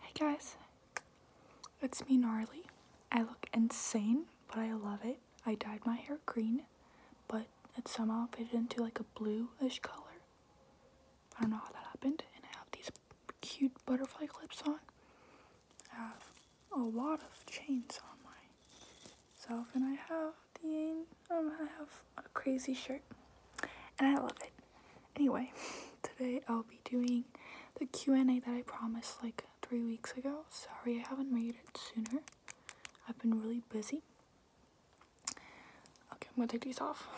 Hey guys, it's me Gnarly. I look insane, but I love it. I dyed my hair green, but it somehow faded into like a bluish color. I don't know how that happened. And I have these cute butterfly clips on. I have a lot of chains on myself, and I have the um, I have a crazy shirt. And I love it. Anyway, today I'll be doing the Q&A that I promised like three weeks ago. Sorry I haven't made it sooner. I've been really busy. Okay, I'm gonna take these off.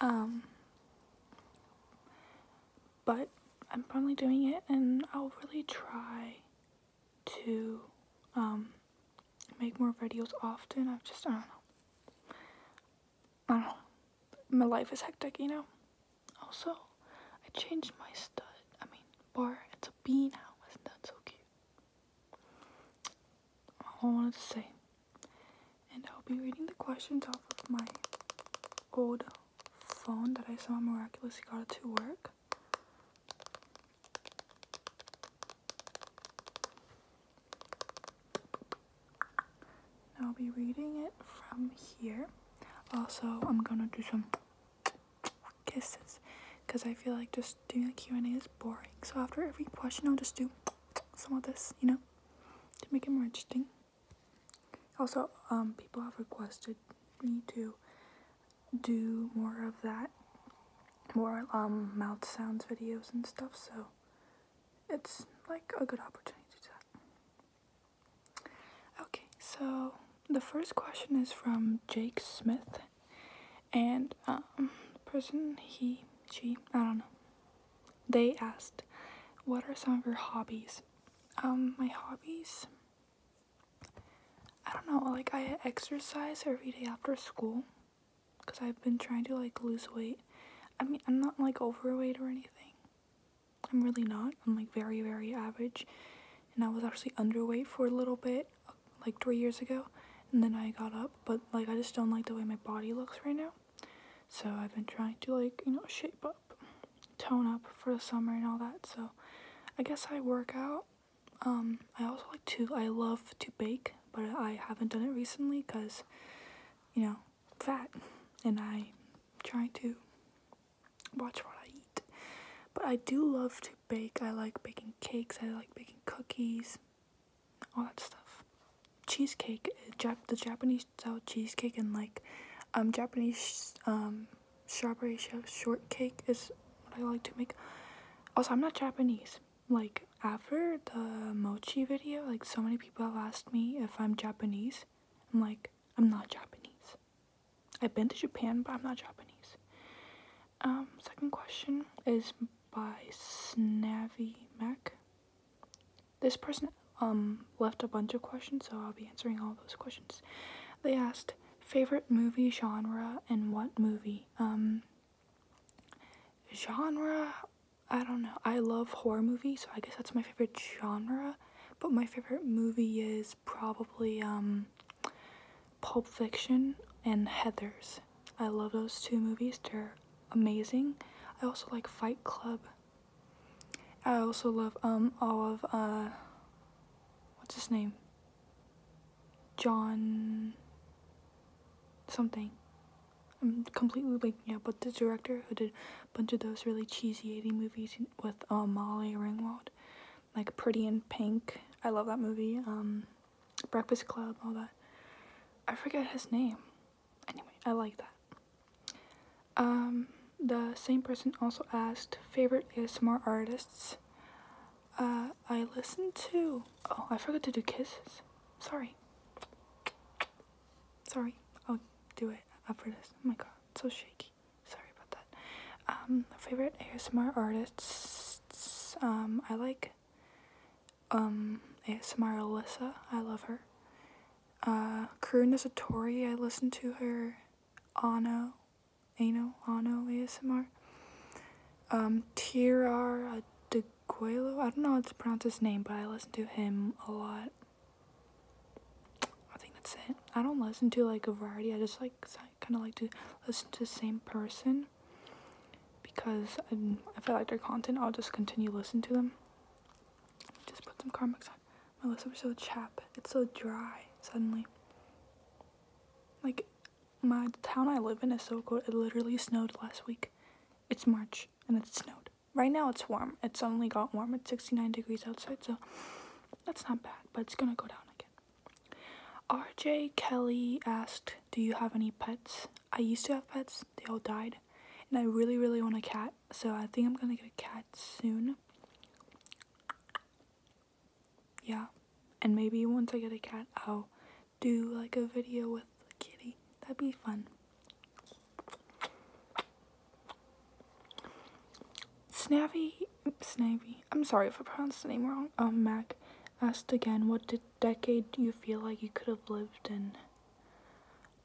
Um, but I'm finally doing it and I'll really try to um, make more videos often. i am just, I don't know. I don't know. My life is hectic, you know? Also, I changed my stud. I mean, bar. It's a bean now. Isn't that so cute? All I wanted to say. And I'll be reading the questions off of my old phone that I saw miraculously got it to work. I'll be reading it from here. Also, I'm gonna do some kisses because I feel like just doing a Q&A is boring. So after every question, I'll just do some of this, you know, to make it more interesting. Also, um, people have requested me to do more of that more um, mouth sounds videos and stuff, so it's like a good opportunity to Okay, so the first question is from Jake Smith, and um, person he, she, I don't know, they asked, "What are some of your hobbies?" Um, my hobbies. I don't know, like I exercise every day after school because I've been trying to like lose weight. I mean, I'm not like overweight or anything. I'm really not. I'm like very, very average. And I was actually underweight for a little bit, like three years ago. And then I got up, but like I just don't like the way my body looks right now. So I've been trying to like, you know, shape up, tone up for the summer and all that. So I guess I work out um, I also like to, I love to bake, but I haven't done it recently because, you know, fat, and I try to watch what I eat. But I do love to bake. I like baking cakes. I like baking cookies, all that stuff. Cheesecake, eh, Jap the Japanese style cheesecake, and like um Japanese um strawberry shortcake is what I like to make. Also, I'm not Japanese. Like, after the mochi video, like, so many people have asked me if I'm Japanese. I'm like, I'm not Japanese. I've been to Japan, but I'm not Japanese. Um, second question is by Snavy Mac. This person um left a bunch of questions, so I'll be answering all those questions. They asked, favorite movie genre and what movie um, genre i don't know i love horror movies so i guess that's my favorite genre but my favorite movie is probably um, pulp fiction and heathers i love those two movies they're amazing i also like fight club i also love um all of uh what's his name John something. I'm completely waking Yeah, but the director who did a bunch of those really cheesy 80 movies with um, Molly Ringwald, like Pretty in Pink. I love that movie. Um, Breakfast Club, all that. I forget his name. Anyway, I like that. Um, the same person also asked favorite ASMR artists. Uh, I listened to. Oh, I forgot to do kisses. Sorry. Sorry. I'll do it after this. Oh my god, so shaky. Sorry about that. Um, favorite ASMR artists. Um, I like. Um, ASMR Alyssa. I love her. Uh, is a Satori. I listen to her. Ano. Ano, Ano ASMR. Um, Tirar de DeGuelo, I don't know how to pronounce his name, but I listen to him a lot. I think that's it. I don't listen to like a variety, I just like kind of like to listen to the same person because I'm, if I like their content, I'll just continue listening to them. Just put some comics on. My lips are so chapped. It's so dry suddenly. Like, my town I live in is so cold. It literally snowed last week. It's March and it snowed. Right now it's warm. It suddenly got warm. It's 69 degrees outside, so that's not bad, but it's gonna go down again. RJ Kelly asked, Do you have any pets? I used to have pets, they all died. And I really, really want a cat, so I think I'm gonna get a cat soon yeah. And maybe once I get a cat, I'll do like a video with the kitty. That'd be fun. Snappy, Snappy. I'm sorry if I pronounced the name wrong. Um, Mac asked again, what did, decade do you feel like you could have lived in?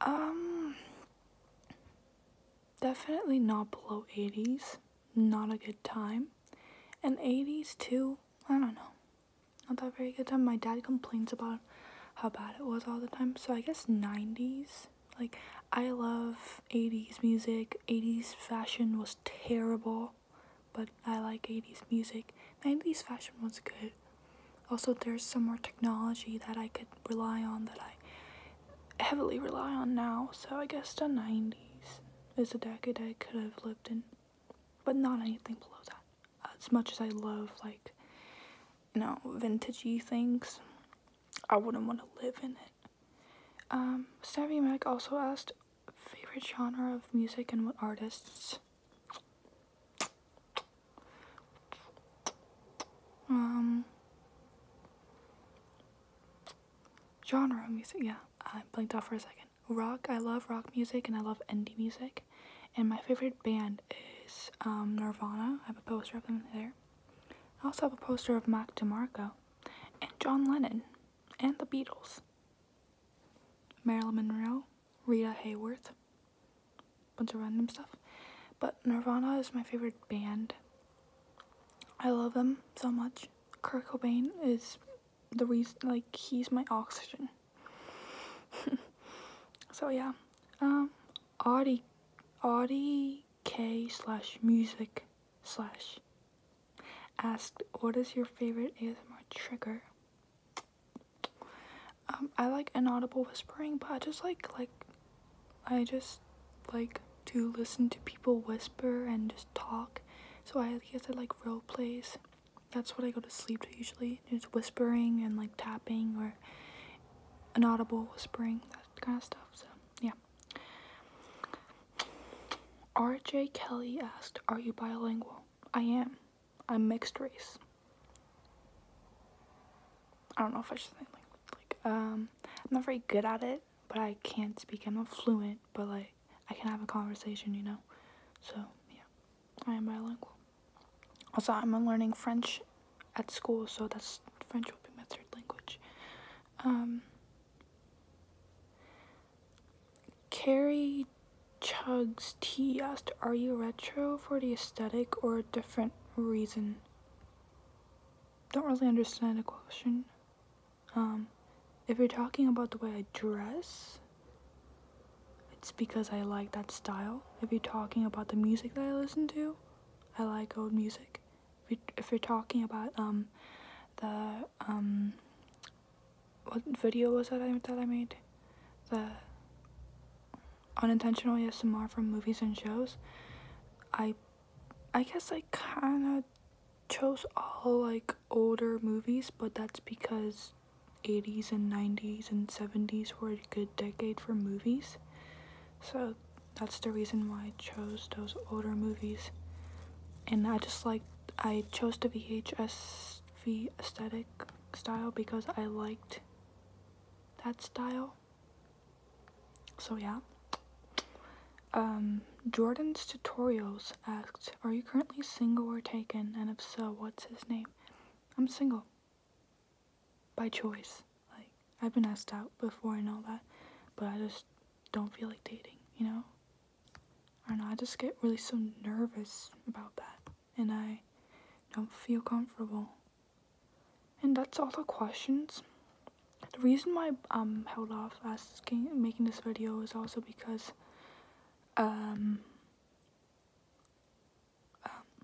Um, definitely not below 80s. Not a good time. And 80s too, I don't know. Not that very good time. My dad complains about how bad it was all the time. So I guess 90s. Like, I love 80s music. 80s fashion was terrible, but I like 80s music. 90s fashion was good. Also, there's some more technology that I could rely on that I heavily rely on now. So I guess the 90s is a decade I could have lived in, but not anything below that. As much as I love like you know vintagey things, I wouldn't want to live in it. Um, Savvy Mac also asked favorite genre of music and what artists um, genre of music. Yeah, I blinked off for a second. Rock. I love rock music and I love indie music. And my favorite band is um, Nirvana. I have a poster of them there. I also have a poster of Mac DeMarco and John Lennon and the Beatles. Marilyn Monroe, Rita Hayworth, bunch of random stuff. But Nirvana is my favorite band. I love them so much. Kurt Cobain is the reason, like, he's my oxygen. so, yeah. Um, Audie, Audie K slash music slash asked, what is your favorite ASMR trigger? um, I like inaudible whispering, but I just like like I just like to listen to people whisper and just talk. So I guess I like role plays. That's what I go to sleep to usually. It's whispering and like tapping or inaudible whispering, that kind of stuff. So yeah. RJ Kelly asked, Are you bilingual? I am. I'm mixed race. I don't know if I should say like like um I'm not very good at it, but I can not speak. I'm not fluent, but like I can have a conversation, you know. So yeah, I am bilingual. Also, I'm learning French at school, so that's French will be my third language. Um, Carrie Chugs tea. asked, "Are you retro for the aesthetic or different reason. Don't really understand the question. Um, if you're talking about the way I dress, it's because I like that style. If you're talking about the music that I listen to, I like old music. If, you, if you're talking about um, the um, what video was that I that I made? The unintentional ASMR from movies and shows. I I guess I kind of chose all like older movies, but that's because 80s and 90s and 70s were a good decade for movies. So that's the reason why I chose those older movies. And I just like I chose the VHS aesthetic style because I liked that style. So yeah. Um, Jordan's Tutorials asked, Are you currently single or taken? And if so, what's his name? I'm single. By choice. Like, I've been asked out before I know that, but I just don't feel like dating, you know? I don't know, I just get really so nervous about that and I don't feel comfortable. And that's all the questions. The reason why I um, held off asking making this video is also because um, um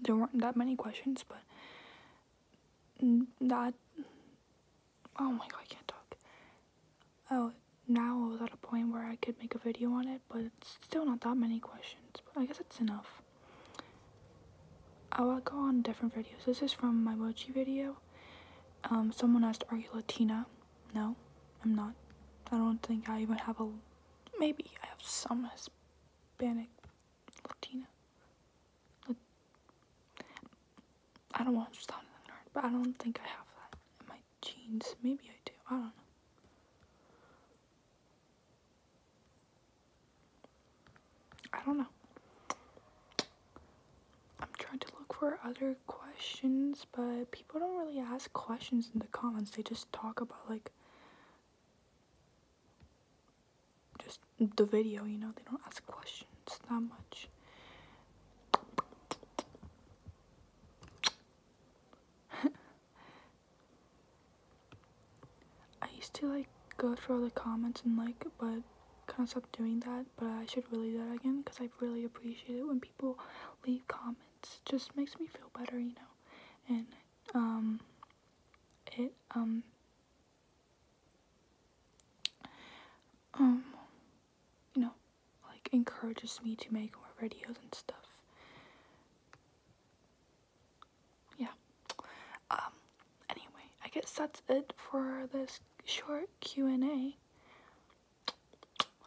there weren't that many questions, but that oh my god, I can't talk oh, now I was at a point where I could make a video on it, but it's still not that many questions. But I guess it's enough. I'll go on different videos. This is from my mochi video. Um, someone asked, are you Latina? No, I'm not. I don't think I even have a, maybe I have some Hispanic, Latina. I don't want to sound nerd, but I don't think I have that in my jeans. Maybe I do. I don't know. I don't know. I'm trying to look for other questions, but people don't really ask questions in the comments. They just talk about like just the video, you know. They don't ask questions that much. I used to like go through all the comments and like, but kind of stopped doing that. But I should really do that again because I really appreciate it when people leave comments. just makes me feel better, you know. And um, it um, um, you know, like encourages me to make more videos and stuff. Yeah. Um anyway, I guess that's it for this short Q&A.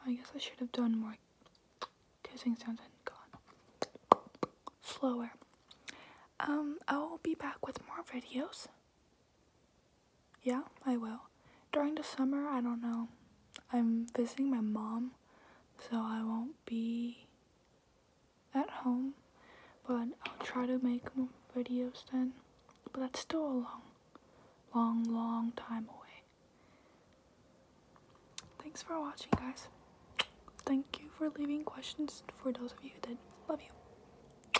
I guess I should have done more kissing sounds and gone slower. Um I will be back with more videos. Yeah, I will. During the summer, I don't know. I'm visiting my mom, so I won't be at home, but I'll try to make videos then. But that's still a long, long, long time away. Thanks for watching, guys. Thank you for leaving questions for those of you that love you.